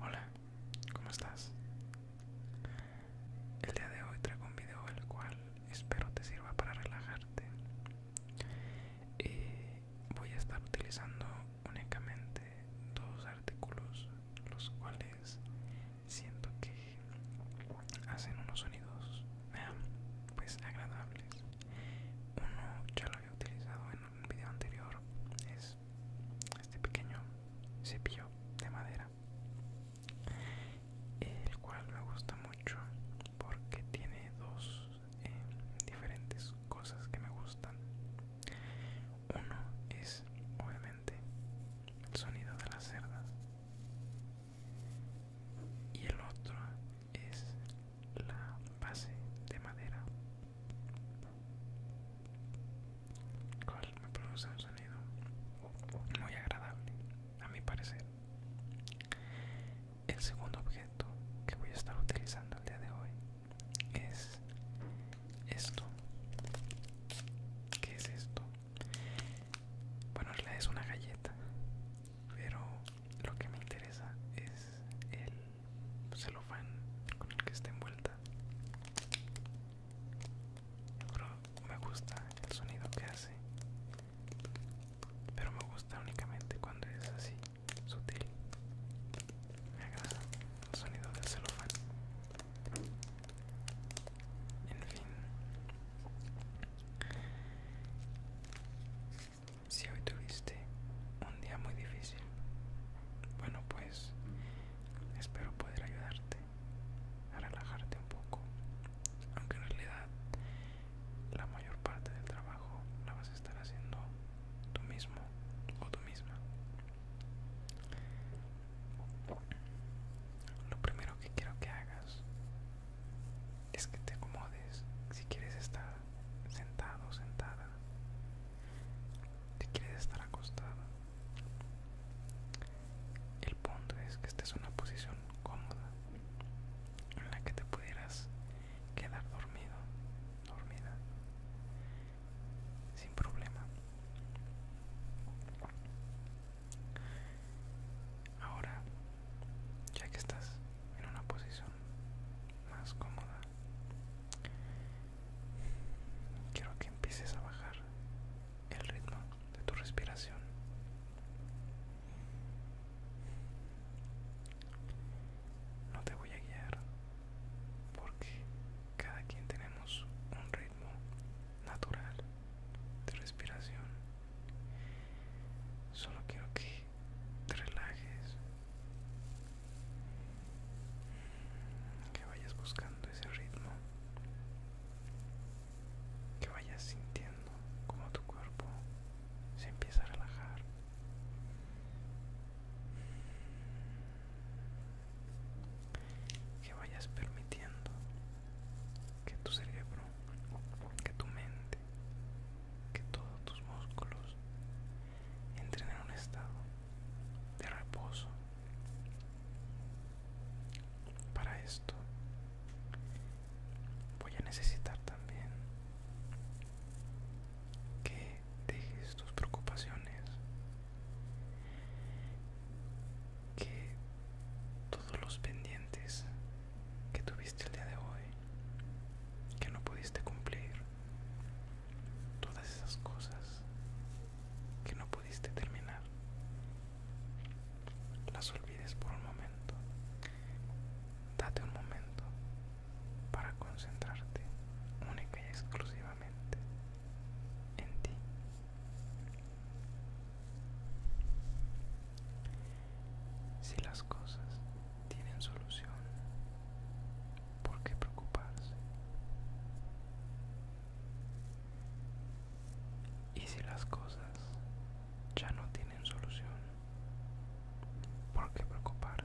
Hola, ¿cómo estás? El día de hoy traigo un video el cual espero te sirva para relajarte. voy a estar utilizando únicamente dos artículos, los cuales siento que hacen unos sonidos pues agradables. Uno ya lo había utilizado en un video anterior, es este pequeño cepillo de madera el cual me gusta mucho porque tiene dos eh, diferentes cosas que me gustan uno es obviamente el sonido de las cerdas y el otro es la base de madera cual me produce un sonido muy agradable a mi parecer el segundo objeto que voy a estar utilizando el día de hoy es esto ¿qué es esto? bueno es una galleta pero lo que me interesa es el celofán con el que está envuelta me gusta el sonido que hace pero me gusta únicamente cuando es así sutil me agrada el sonido del celofán en fin si hoy tuviste un día muy difícil, bueno pues espero poder ayudarte a relajarte un poco, aunque en realidad la mayor parte del trabajo la vas a estar haciendo tú mismo o tú misma. Lo primero que quiero que hagas es que te acomodes si quieres estar sentado, sentada, te quieres estar acostada El punto es que esta es una posición cómoda en la que te pudieras quedar dormido, dormida, sin problema. Ahora ya que estás en una posición más cómoda quiero que empieces a bajar el ritmo de tu respiración no te voy a guiar porque cada quien tenemos un ritmo natural de respiración Solo quiero que te relajes. Que vayas buscando ese ritmo. Que vayas sintiendo como tu cuerpo se empieza a relajar. Que vayas permitiendo que tu cerebro, que tu mente que todos tus músculos entren en un estado de reposo. Para esto voy a necesitar también que dejes tus preocupaciones, que todos los pendientes que tuviste el día de hoy, que no pudiste cumplir, todas esas cosas que no pudiste terminar, las olvides por un momento. Date un momento para concentrarte única y exclusivamente en ti. Si las cosas tienen solución, ¿por qué preocuparse? Y si las cosas ya no tienen solución, ¿por qué preocuparse?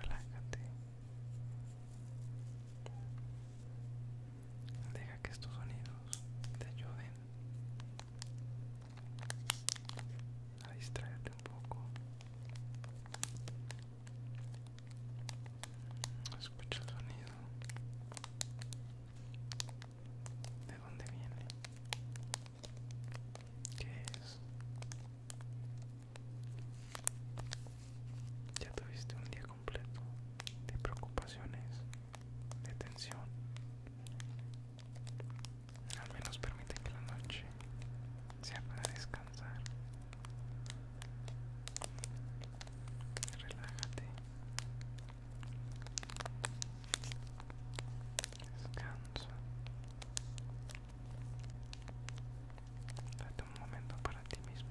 Relájate. Deja que estos sonidos te ayuden a distraerte un poco. escucho el sonido. ¿De dónde viene? ¿Qué es? Ya tuviste un día completo de preocupaciones, de tensión al menos permite que la noche sea para descansar. Relájate. Descansa. Date un momento para ti mismo.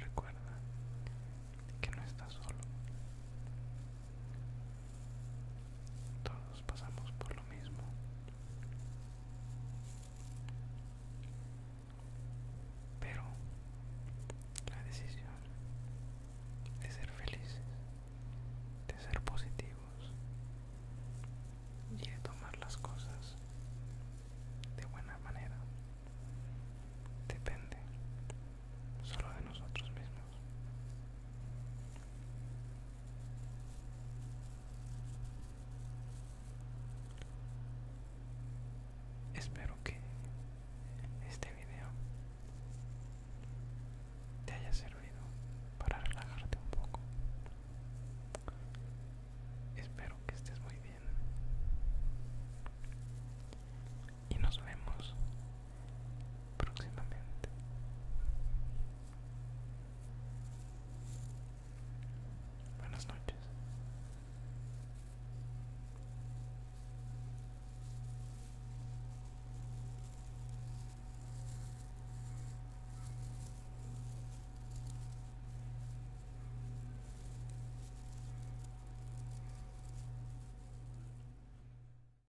Recuerda que no estás solo. Todos pasamos por lo mismo. Pero la decisión de ser felices, de ser positivos y de tomar las cosas de buena manera depende solo de nosotros mismos. Espero que este video te haya servido para relajarte un poco. Espero que estés muy bien. Y nos vemos próximamente. Buenas noches.